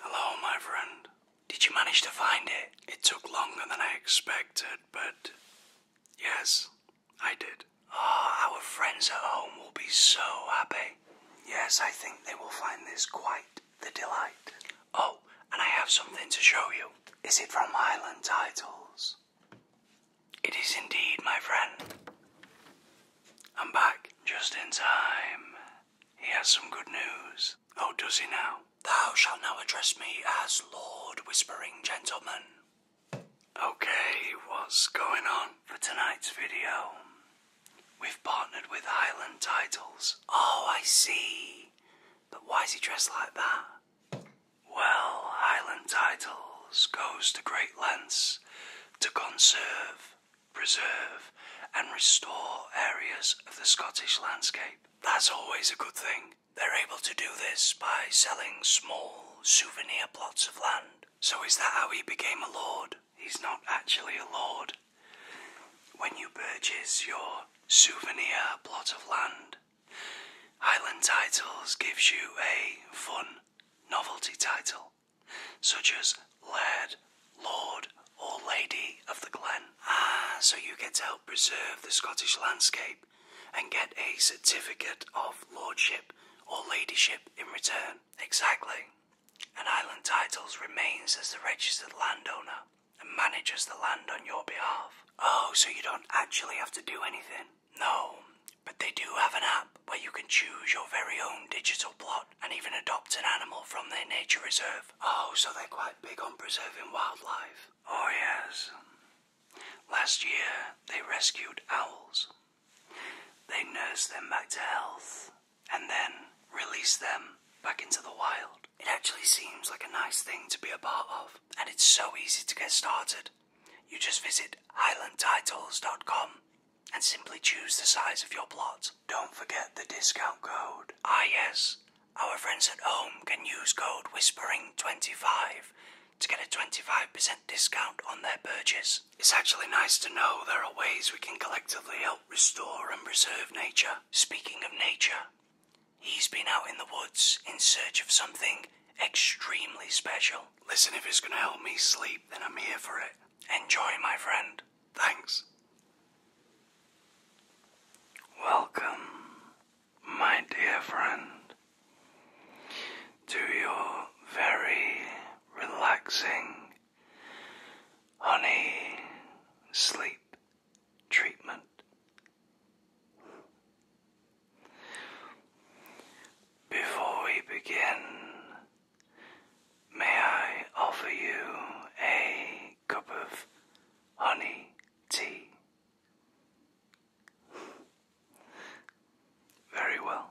Hello, my friend. Did you manage to find it? It took longer than I expected, but yes, I did. Ah, our friends at home will be so happy. Yes, I think they will find this quite the delight. Oh, and I have something to show you. Is it from Highland Titles? It is indeed, my friend. I'm back just in time. He has some good news. Oh, does he now? Thou shalt now address me as Lord Whispering Gentleman. Okay, what's going on? For tonight's video, we've partnered with Highland Titles. Oh, I see. But why is he dressed like that? Well, Highland Titles goes to great lengths to conserve, preserve, and restore areas of the Scottish landscape. That's always a good thing. They're able to do this by selling small souvenir plots of land. So, is that how he became a lord? He's not actually a lord. When you purchase your souvenir plot of land, Island Titles gives you a fun novelty title, such as Laird, Lord, or Lady of the Glen. Ah, so you get to help preserve the Scottish landscape and get a certificate of lordship or ladyship in return. Exactly. And Island Titles remains as the registered landowner and manages the land on your behalf. Oh, so you don't actually have to do anything? No, but they do have an app where you can choose your very own digital plot and even adopt an animal from their nature reserve. Oh, so they're quite big on preserving wildlife. Oh, yes. Last year, they rescued owls. They nursed them back to health and then released them back into the wild. It actually seems like a nice thing to be a part of and it's so easy to get started. You just visit highlandtitles.com and simply choose the size of your plot. Don't forget the discount code. Ah, yes, our friends at home can use code WHISPERING25 to get a 25% discount on their purchase. It's actually nice to know there are ways we can collectively help restore and preserve nature. Speaking of nature, He's been out in the woods in search of something extremely special. Listen, if it's gonna help me sleep, then I'm here for it. Enjoy, my friend. Thanks. Welcome, my dear friend, to your very relaxing honey sleep treatment. Before we begin, may I offer you a cup of honey tea? Very well.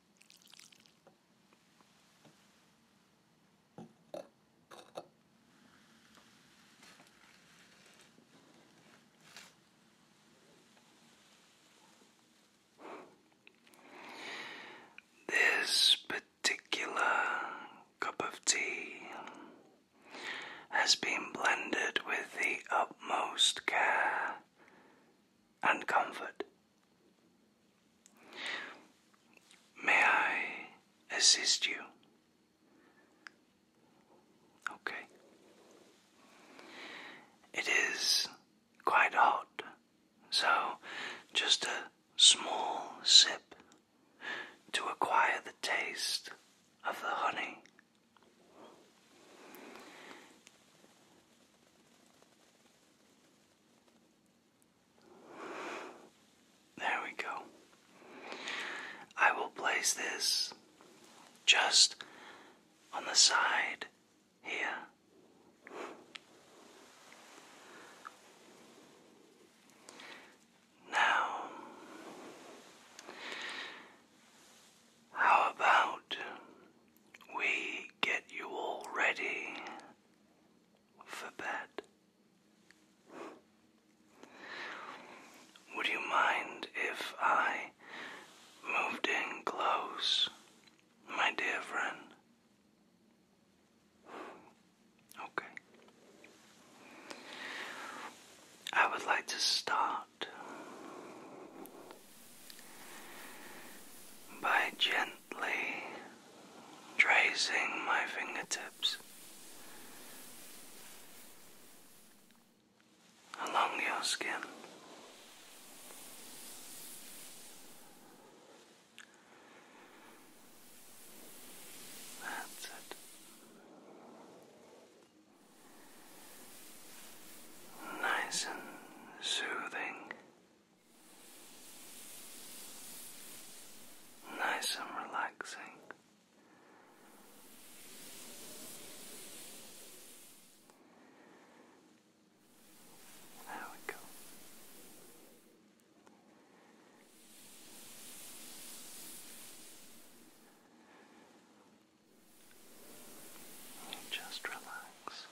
This particular cup of tea has been blended with the utmost care and comfort. May I assist you? Okay. It is quite hot, so just a small sip to acquire the taste of the honey. There we go. I will place this just on the side here. Now, how about we get you all ready for bed. Would you mind if I moved in close, my dear friend? Okay. I would like to start by gently tracing my fingertips along your skin. That's it. Nice and soothing nice and relaxing. There we go just relax.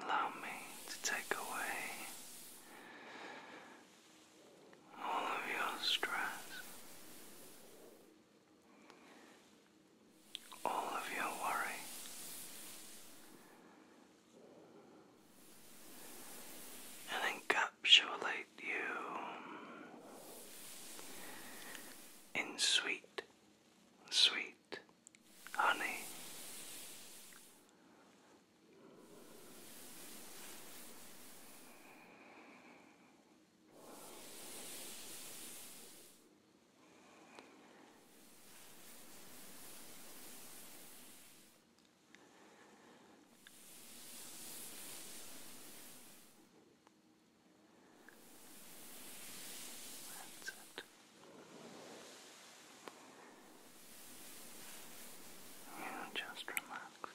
Allow me to take away all of your stress, all of your worry. And encapsulate you in sweet, sweet honey. That's it. You just relax. Relax.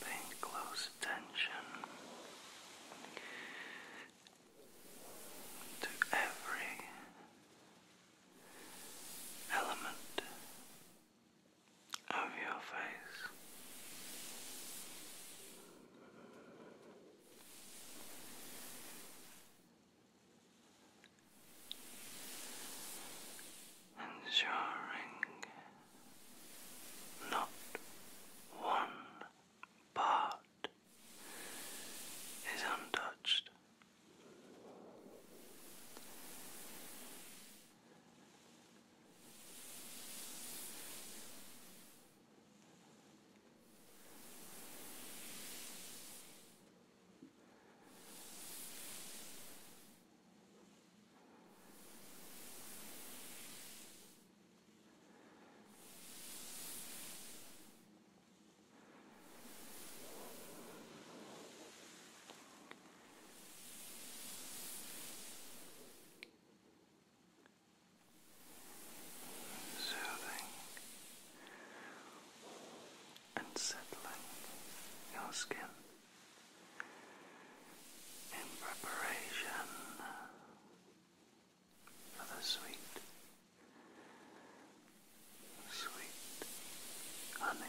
Paying close attention to every element of your face ensuring not one part is untouched. Soothing and settling your skin in preparation for the sweet, sweet honey.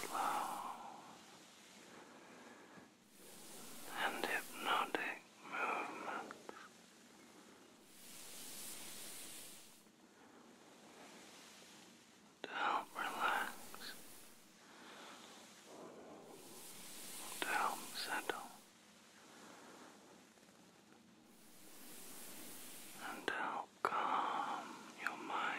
slow and hypnotic movements. To help relax, to help settle, and help calm your mind.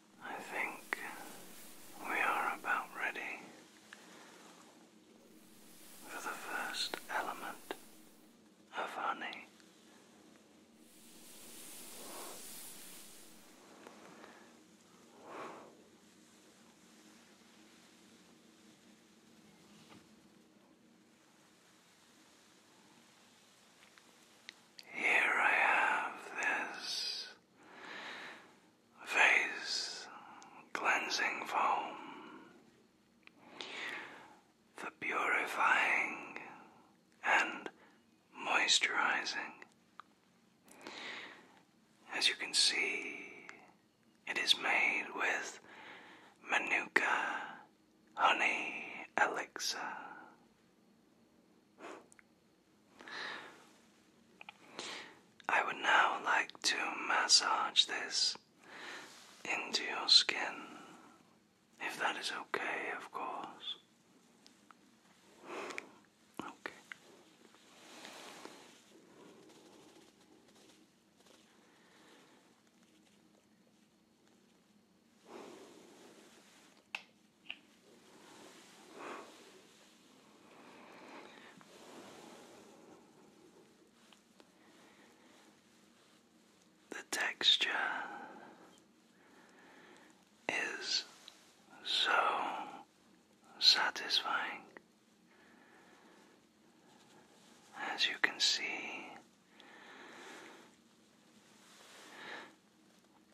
I think we are about ready for the first element of honey. Here I have this face cleansing foam, the purifying and moisturizing. As you can see, it is made with Manuka honey elixir. I would now like to massage this into your skin, if that is okay, of course. Okay. The texture is so satisfying. As you can see,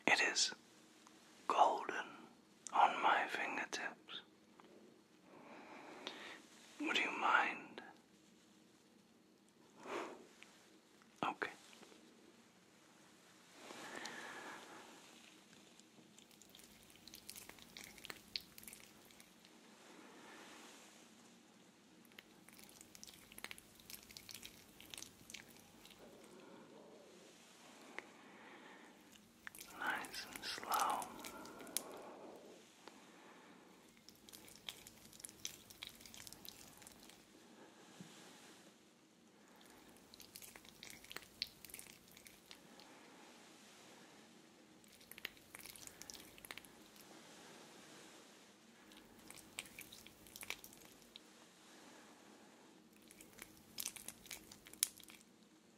it is golden on my fingertips. Would you mind? Okay nice and slow.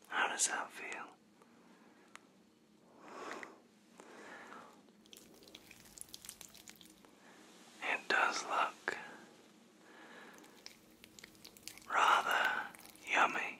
How does that feel? It does look rather yummy.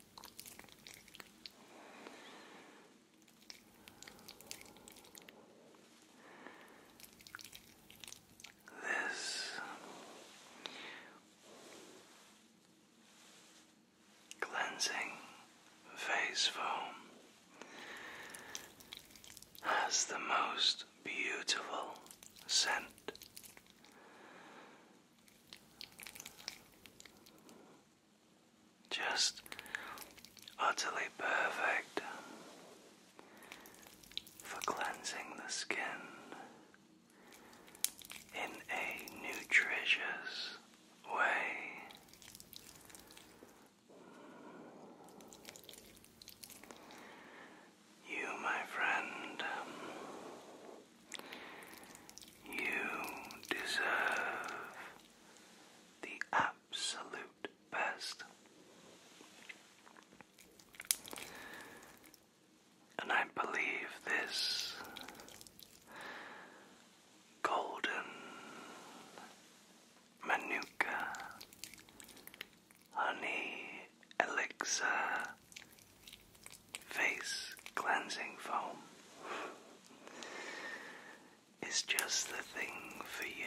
This cleansing face foam has the most beautiful scent just utterly perfect for cleansing the skin in a nutritious way. You, my friend, you deserve the absolute best. And I believe this golden manuka honey elixir face cleansing foam is just the thing for you.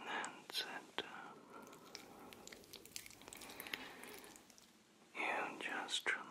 and center. You just relax.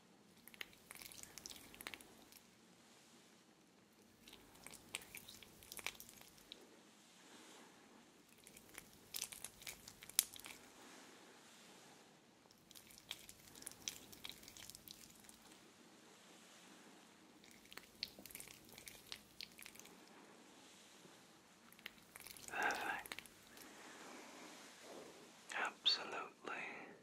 Perfect. Absolutely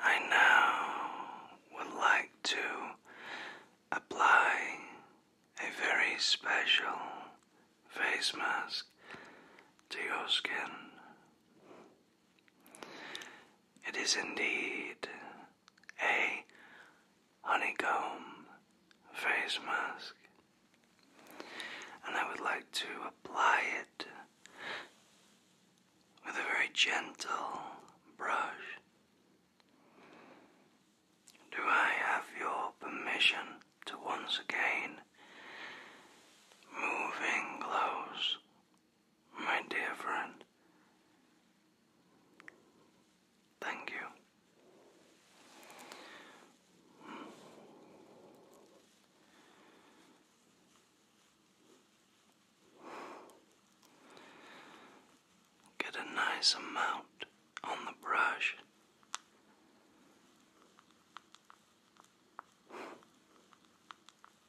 I now would like to apply a very special face mask to your skin. It is indeed a honeycomb face mask, and I would like to apply it with a very gentle brush. Do I have your permission to once again move moving close my dear friend. Thank you. Get a nice amount on the brush.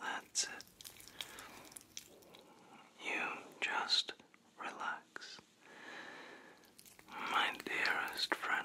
That's it. You just relax, my dearest friend.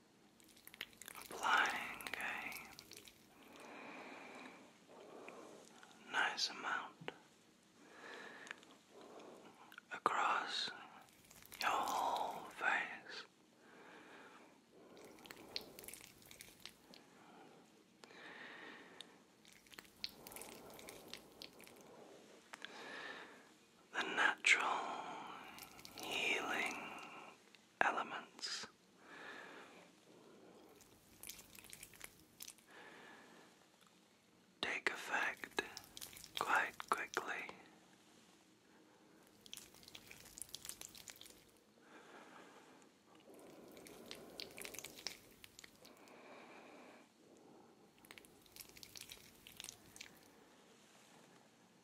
applying a nice amount across your whole face the natural healing elements. Take effect quite quickly.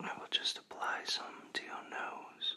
I will just apply some to your nose.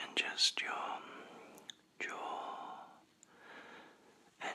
and just your jaw and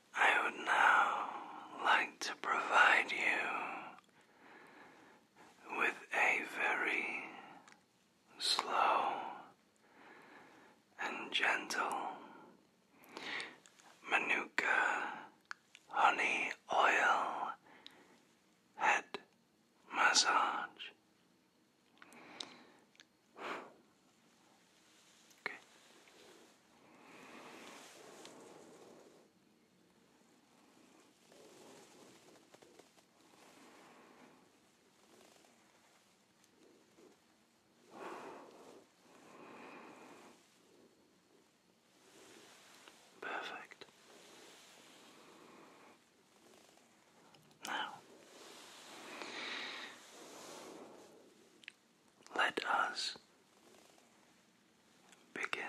I would now like to provide you with a very slow and gentle Manuka honey oil head massage. Okay. Perfect. Now, let us begin.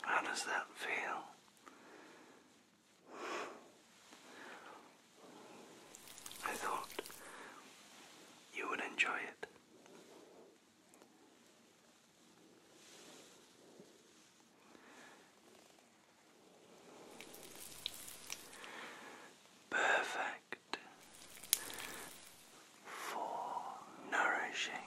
How does that feel? I thought you would enjoy it. Perfect for nourishing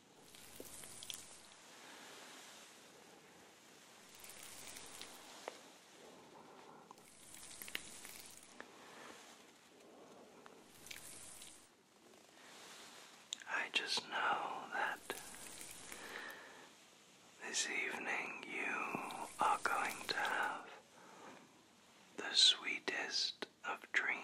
I just know that this evening you are going to have the sweetest of dreams.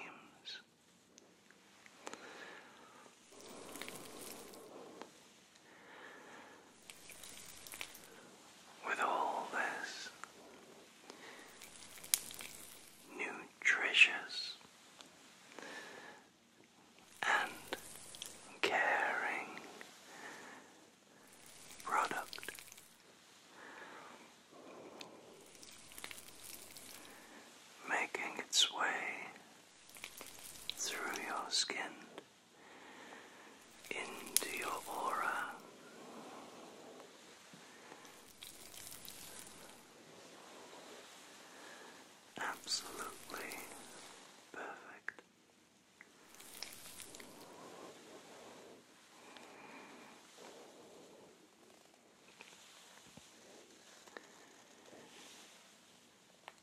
With all this nutritious and caring product. Making its way through your skin into your aura. Absolutely perfect.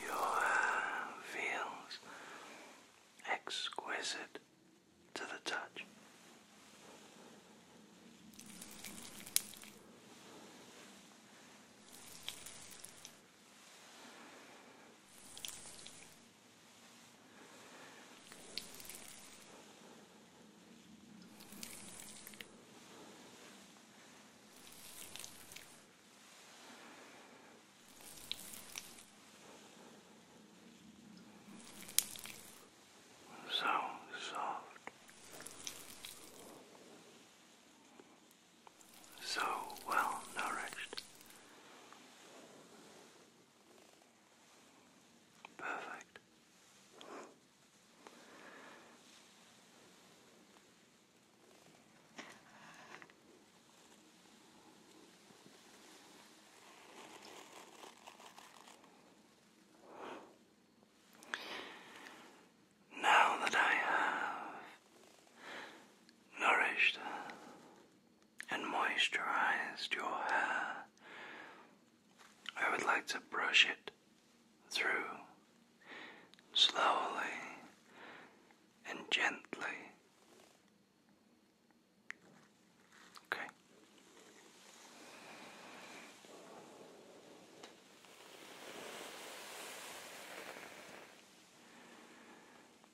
Your hair feels exquisite to the touch. So soft, so well nourished. Perfect. Now that I have nourished and moisturized your hair, I would like to brush it through slowly and gently. Okay.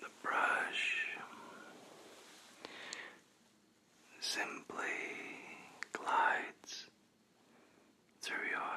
The brush simply glides through your hair.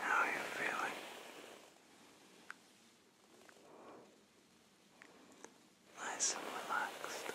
How are you feeling? Nice and relaxed. Good.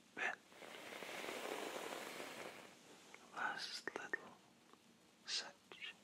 bit. Last little section.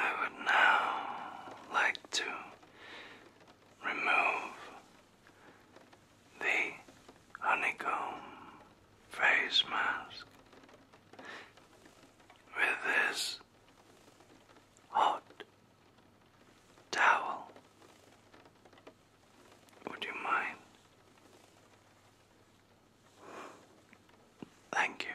I would now like to remove the honeycomb face mask. With this hot towel, would you mind? Thank you.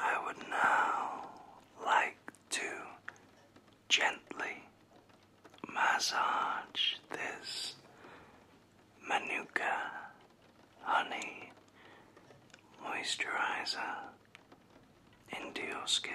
I would now like to gently massage this Manuka honey moisturizer into your skin.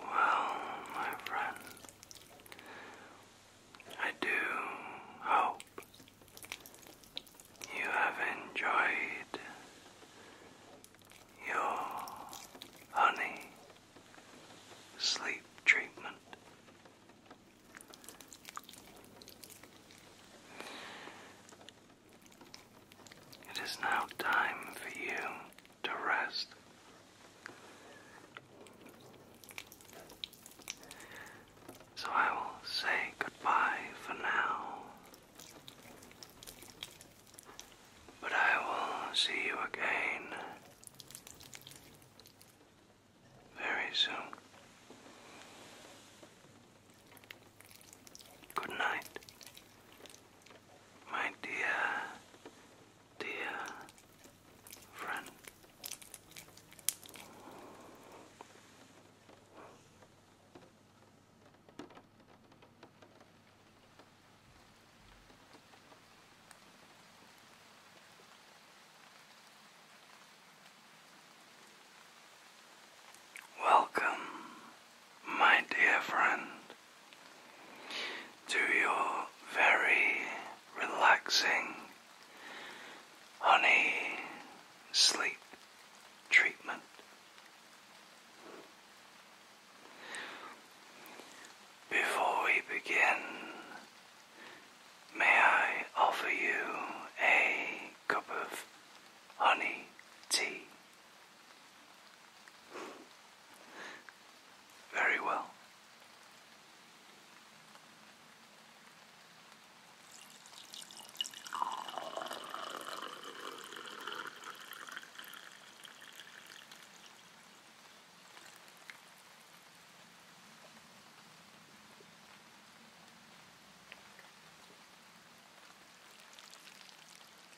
Well, my friend, I do hope you have enjoyed your honey sleep treatment. It is now time for you to rest. So I will say goodbye for now. But I will see you again very soon. Good night, my dear, dear friend. Welcome my dear friend, to your very relaxing honey sleep treatment. Before we begin, may I offer you a cup of honey tea? Very well.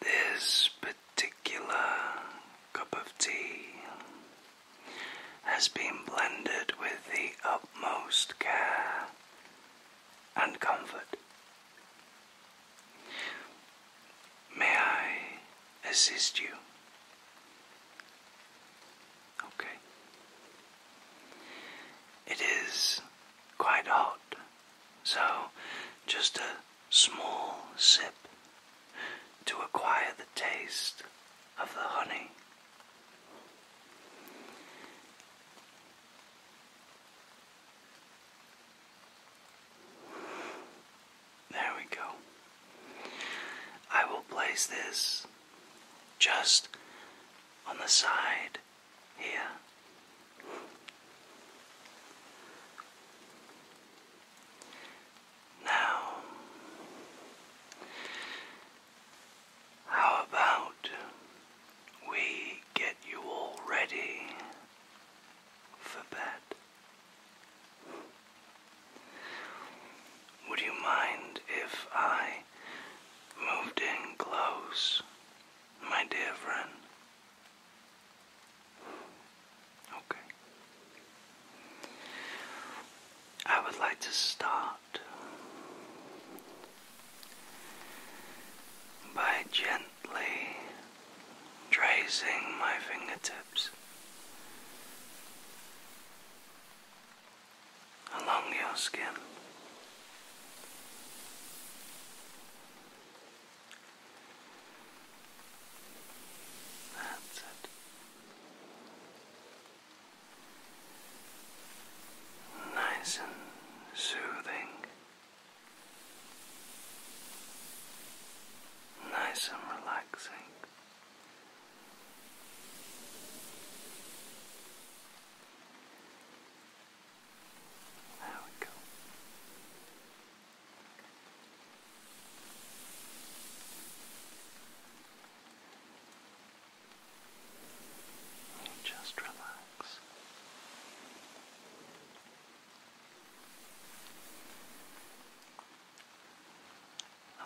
This particular cup of tea has been blended with the utmost care and comfort. May I assist you? Okay. It is quite hot, so just a small sip to acquire the taste of the honey. There we go. I will place this just on the side right here. Now, how about we get you all ready for bed? Would you mind if I moved in close my dear friend. Okay. I would like to start by gently tracing my fingertips along your skin. That's it. Nice and soothing, nice and relaxing. There we go. Just relax.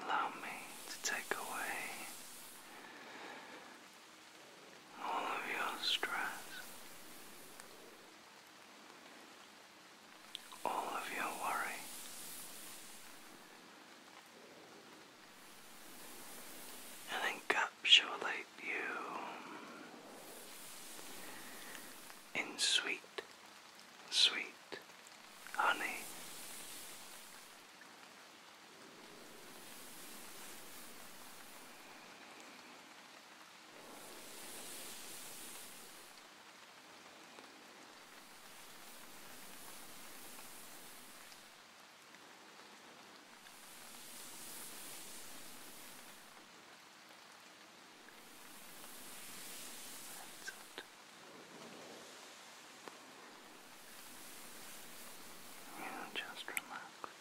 Allow me to take away all of your stress, all of your worry. And encapsulate you in sweet, sweet honey. You just relax.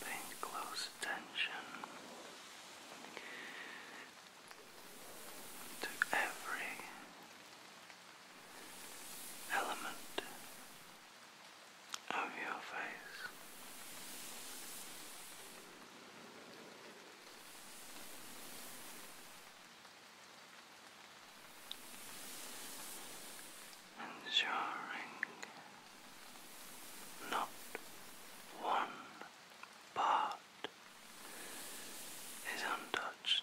Paying close attention to every element of your face. Ensuring not one part is untouched.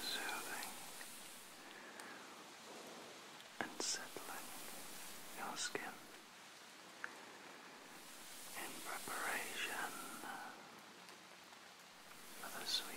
Soothing and settling your skin in preparation for the sweet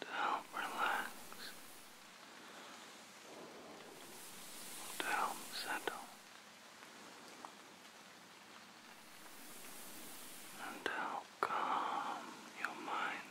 to help relax, to help settle, and to help calm your mind.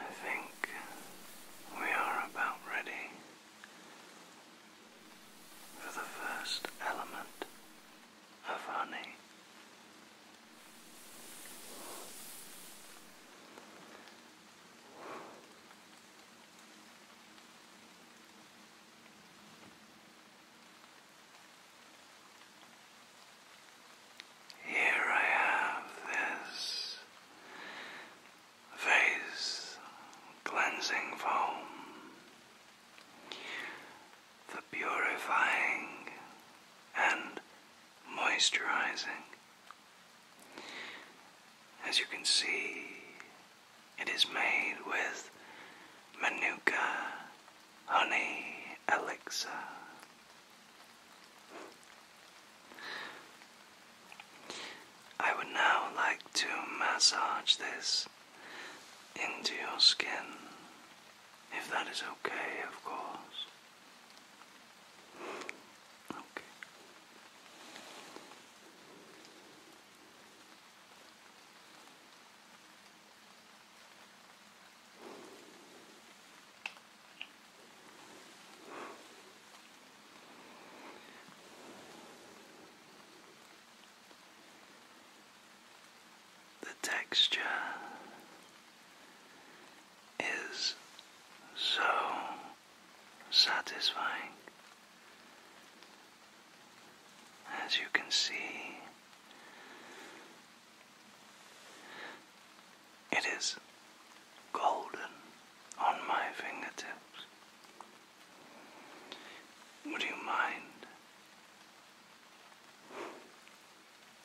I think we are about ready for the first element of honey. Here I have this face cleansing foam, the purifying and moisturizing as you can see, it is made with Manuka honey elixir. I would now like to massage this into your skin, if that is okay, of course. Okay. The texture is so satisfying. As you can see, it is golden on my fingertips. Would you mind?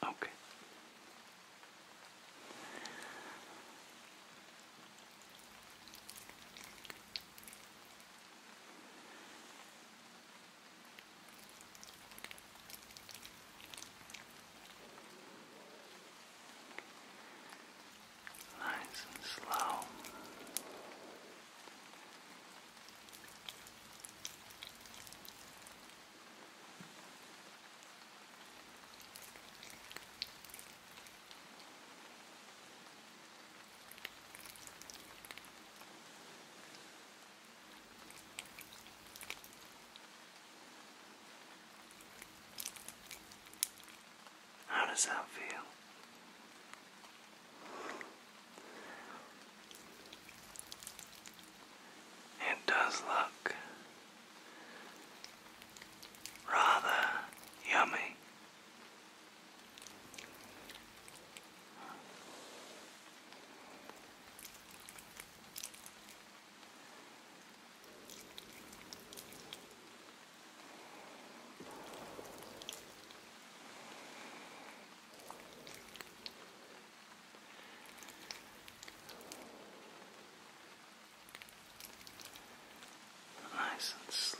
Okay. Nice and slow. Nice how does that feel? It does look Rather yummy. Nice and slow.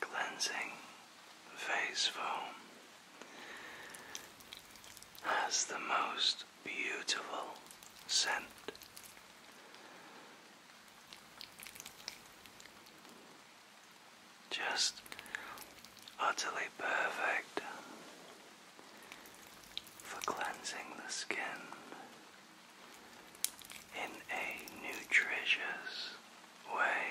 Cleansing face foam has the most beautiful scent. Just utterly perfect for cleansing the skin in a nutritious way.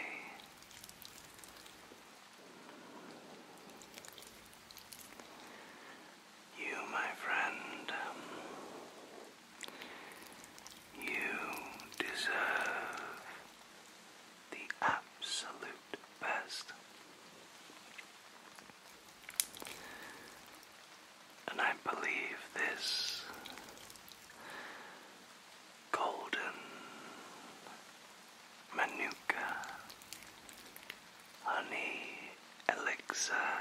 You, my friend, you deserve the absolute best and I believe this golden manuka honey elixir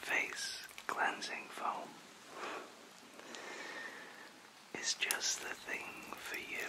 face cleansing foam is just the thing for you.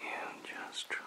and just relax.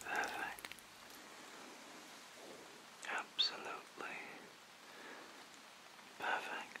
Perfect. Absolutely perfect.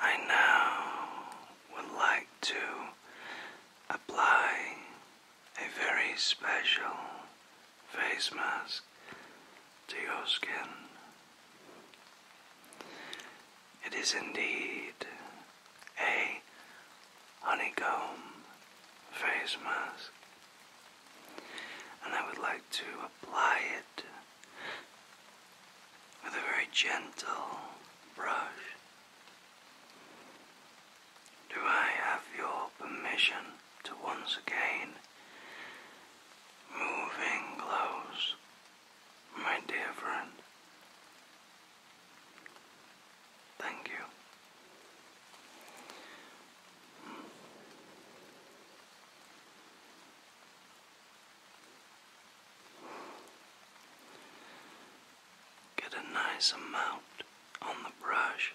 I now would like to apply a very special face mask to your skin. It is indeed a honeycomb face mask, and I would like to apply it with a very gentle brush. Do I have your permission to once again move in close, my dear friend? Thank you. Get a nice amount on the brush.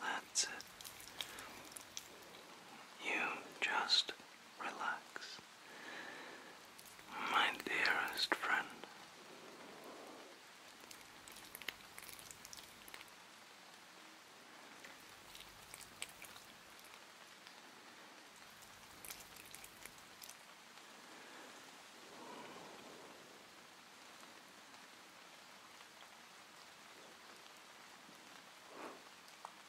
That's it. You just relax my dearest friend.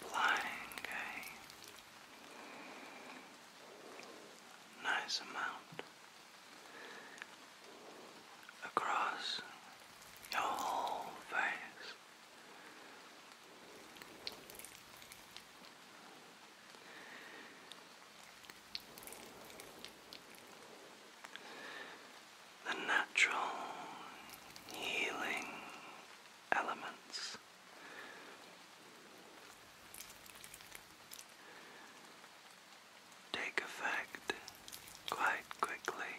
Applying a nice amount across your whole face. The natural healing elements take effect quite quickly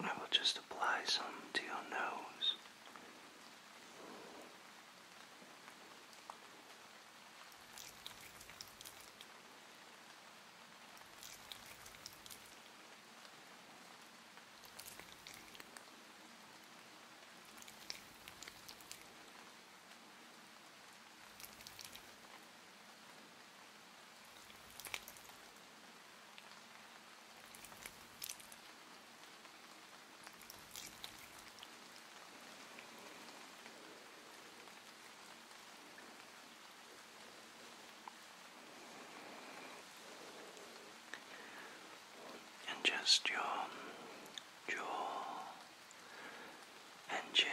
I will just apply some to your nose. And just your jaw and gin.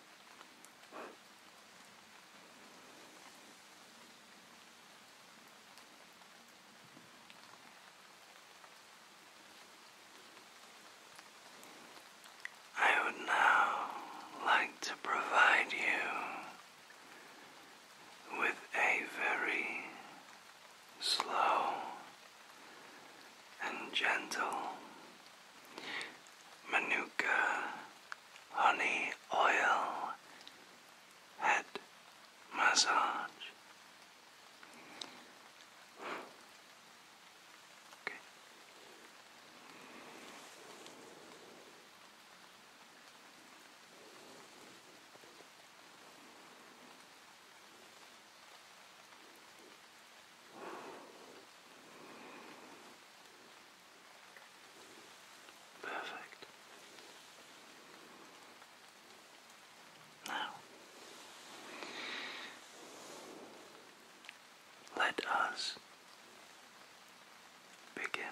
I would now like to provide you with a very slow and gentle Manuka honey oil head massage. Okay. Perfect. Now, let us begin.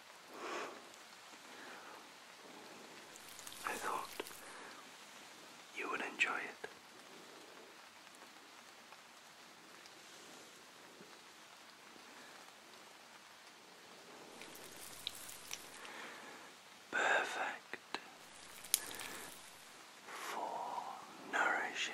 I thought you would enjoy it. Perfect for nourishing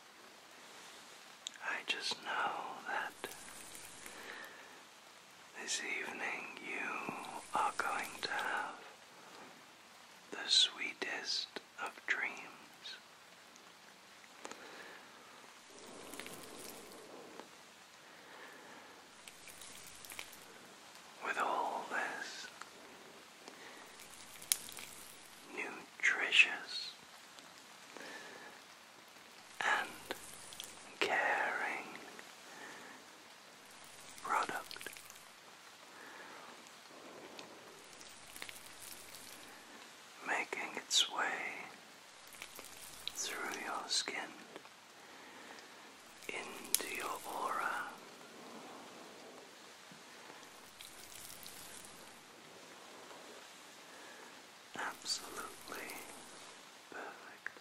I just know that this evening you are going to have the sweetest of dreams. With all this nutritious and caring product. Making its way through your skin into your aura, absolutely perfect.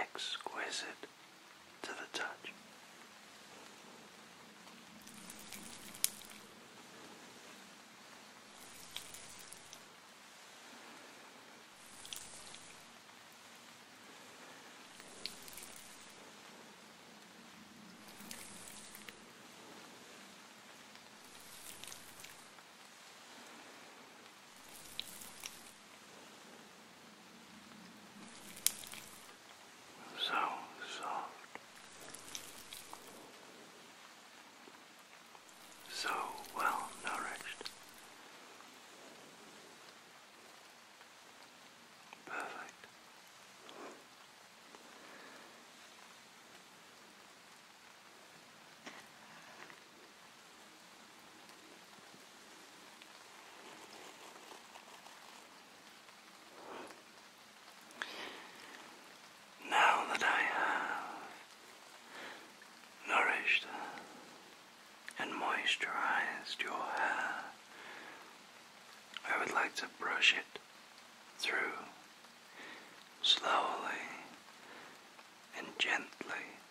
exquisite to the touch. So soft, so well nourished, perfect. Now that I have nourished and moisturized your hair, I would like to brush it through slowly and gently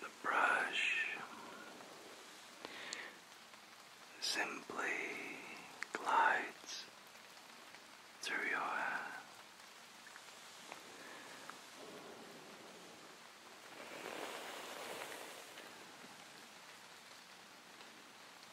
The brush simply glides through your hair.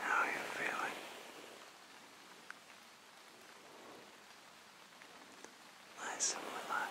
How are you feeling? Nice and relaxed.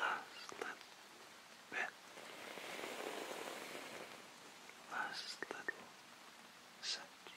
Last little bit. Last little section. Last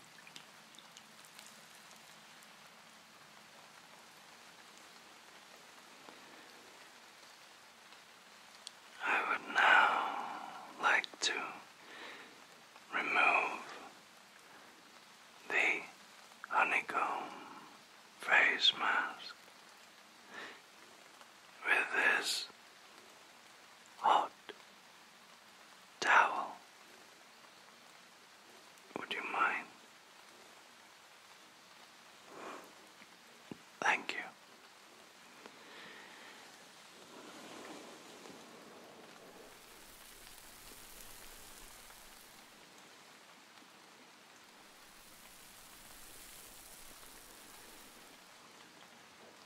I would now like to remove the honeycomb face mask with this hot towel. Would you mind? Thank you.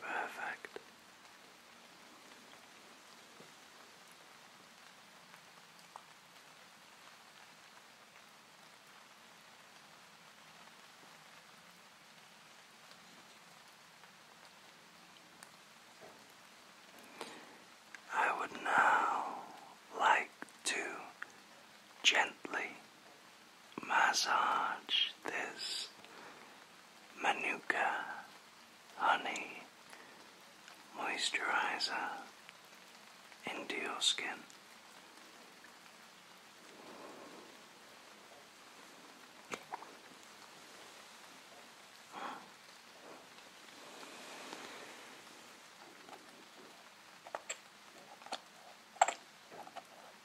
Perfect. I would now like to gently massage this Manuka honey moisturizer into your skin.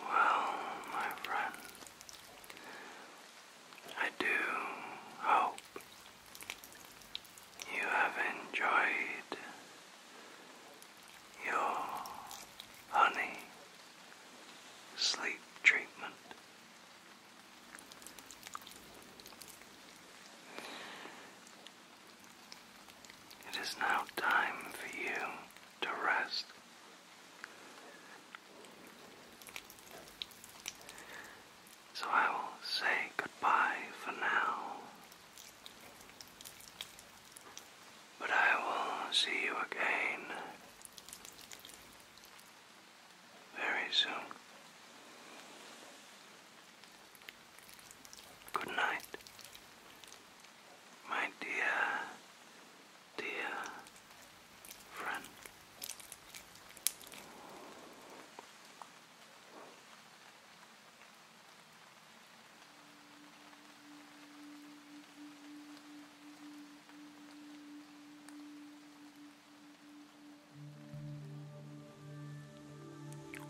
Well, my friend, I do hope you have enjoyed your honey sleep treatment. It is now time for you to rest. So I will say goodbye for now but I will see you again very soon. Good night, my dear, dear friend.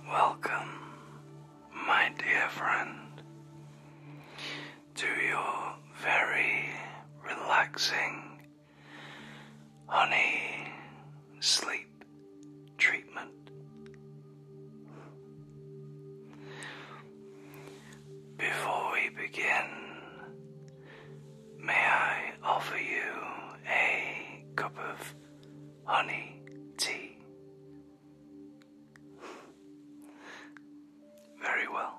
Welcome, my dear friend, to your very relaxing honey sleep treatment. Before we begin, may I offer you a cup of honey tea? Very well.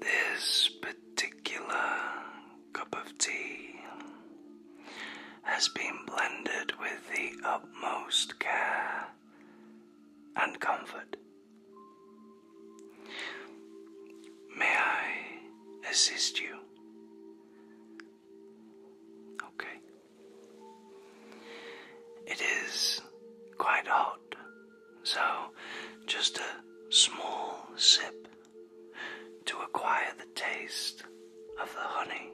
This particular cup of tea has been blended with the utmost care and comfort. May I assist you? Okay. It is quite hot, so just a small sip to acquire the taste of the honey.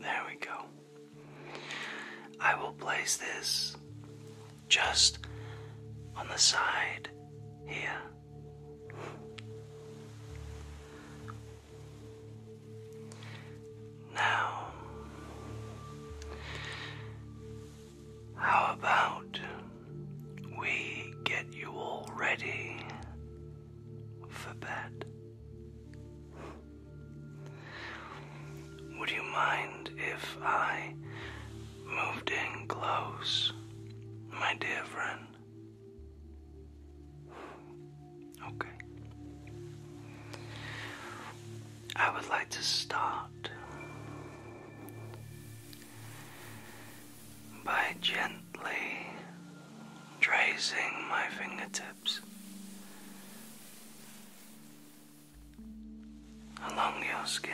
There we go. I will place this just on the side here. Now, how about we get you all ready for bed? Would you mind if I moved in close, my dear friend? Okay. I would like to start by gently tracing my fingertips along your skin.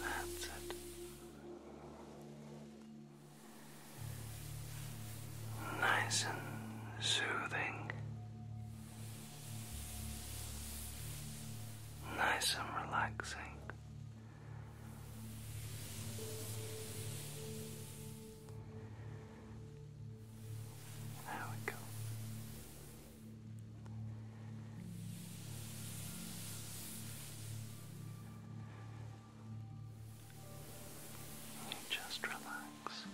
That's it nice and soothing, nice and relaxing. There we go just relax.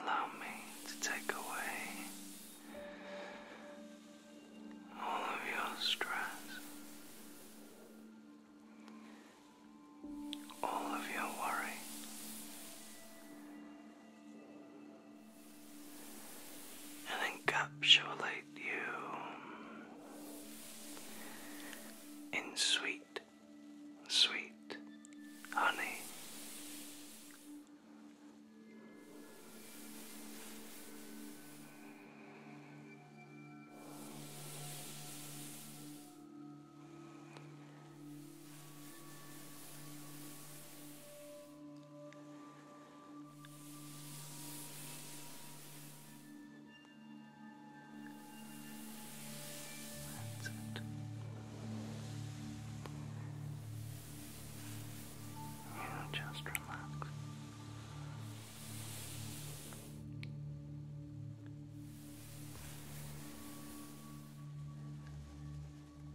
Allow me to take away all of your stress, all of your worry, and encapsulate you in sweet, sweet honey. That's it. You just relax.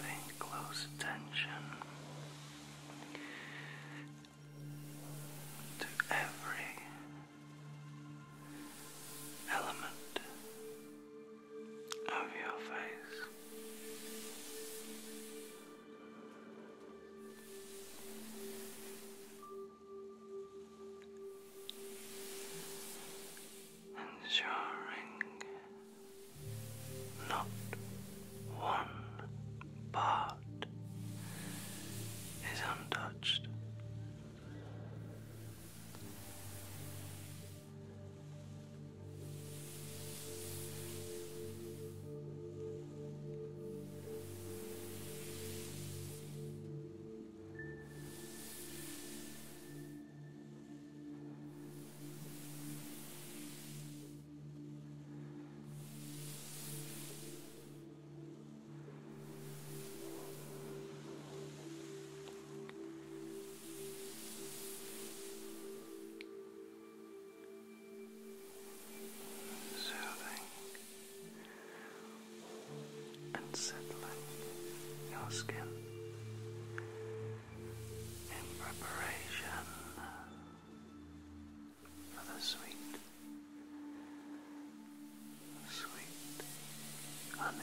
Paying close attention to every element of your face ensuring not one part is untouched soothing and settling your skin in preparation for the sweet, sweet honey.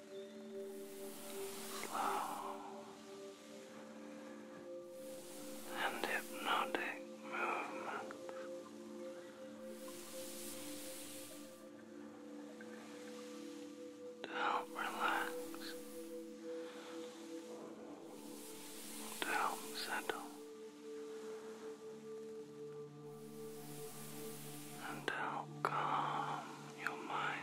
slow, and hypnotic movements. To help relax, to help settle and how calm your mind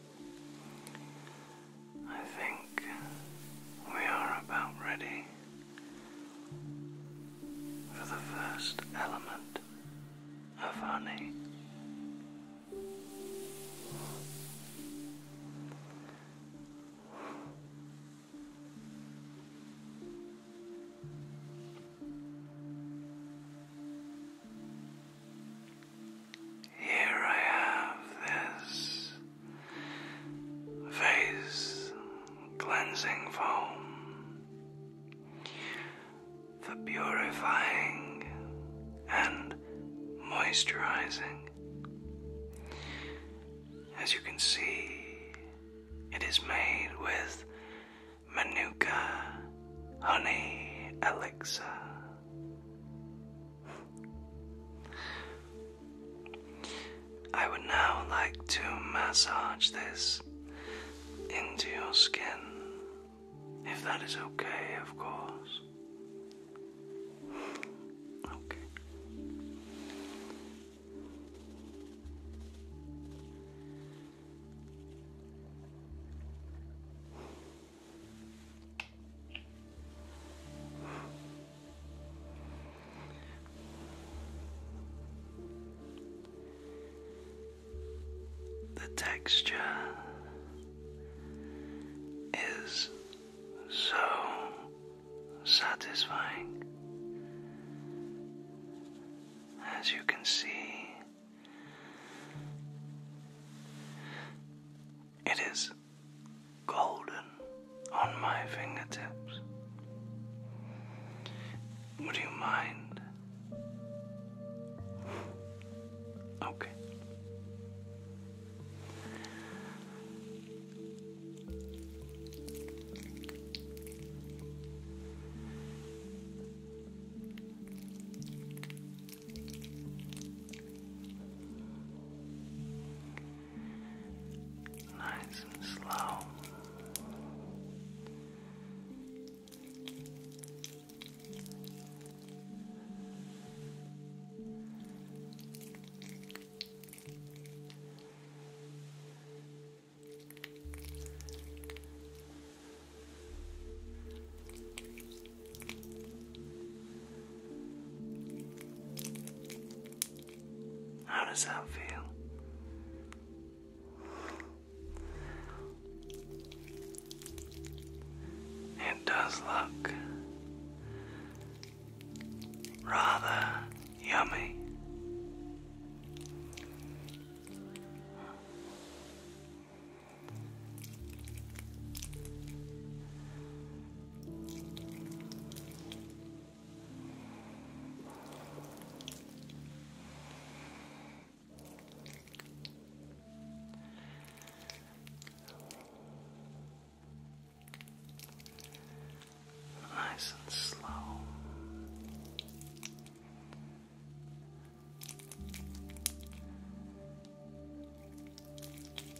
I think we are about ready for the first element of honey. Here I have this face cleansing foam for purifying and moisturizing. As you can see, it is made with Manuka honey elixir. I would now like to massage this into your skin, if that is okay, of course. Okay. The texture is so satisfying. As you can see, it is golden on my fingertips. Would you mind? Okay. Nice and slow. Good. How does that feel? It does look rather yummy. Nice and slow. Good.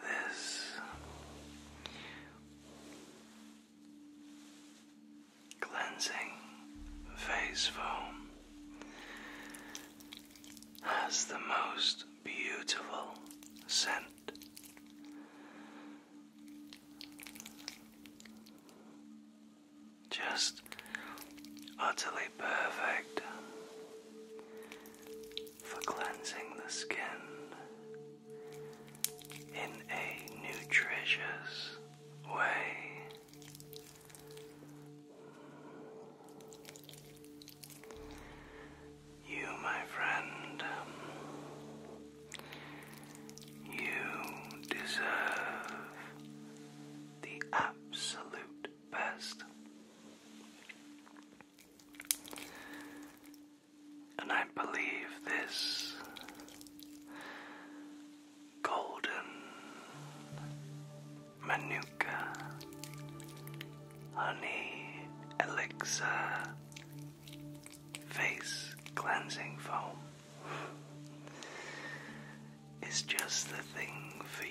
This cleansing face foam has the most beautiful scent just utterly perfect for cleansing the skin in a nutritious way. You, my friend, you deserve the absolute best. And I believe this golden manuka honey elixir face cleansing foam is just the thing for you.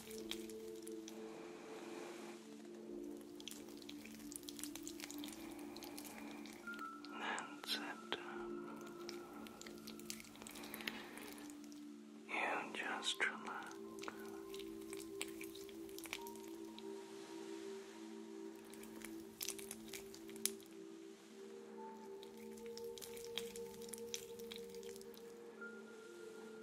And sit You just relax.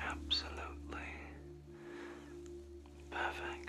Absolutely perfect.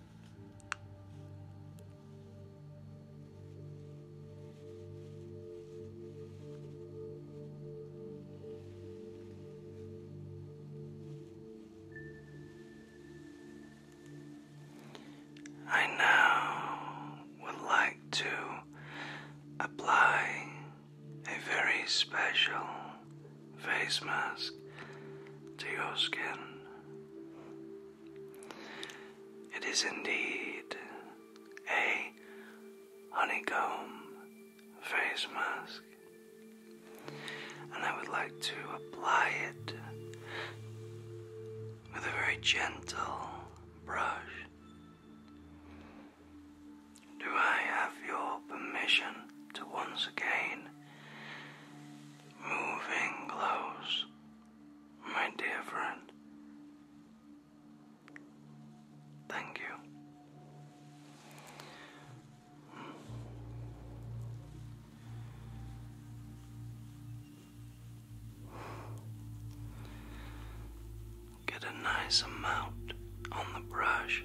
I now would like to apply a very special face mask to your skin. It is indeed a honeycomb face mask, and I would like to apply it with a very gentle brush. Do I have your permission to once again move moving close my dear friend. Thank you. Get a nice amount on the brush.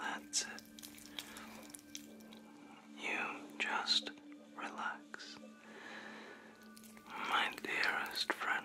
That's it. You just relax, my dearest friend.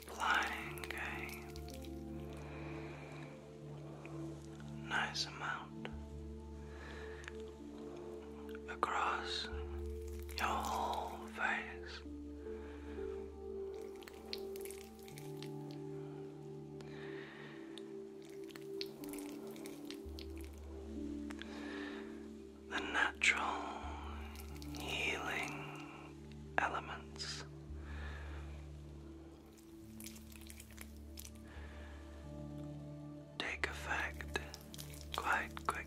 Applying a nice amount across your whole face the natural healing elements. Take effect quite quickly.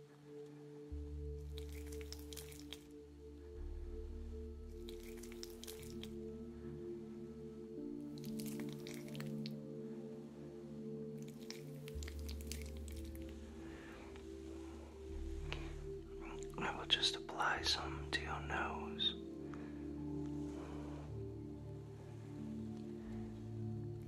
I will just apply some to your nose.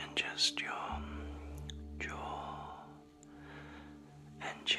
and just your jaw and chin.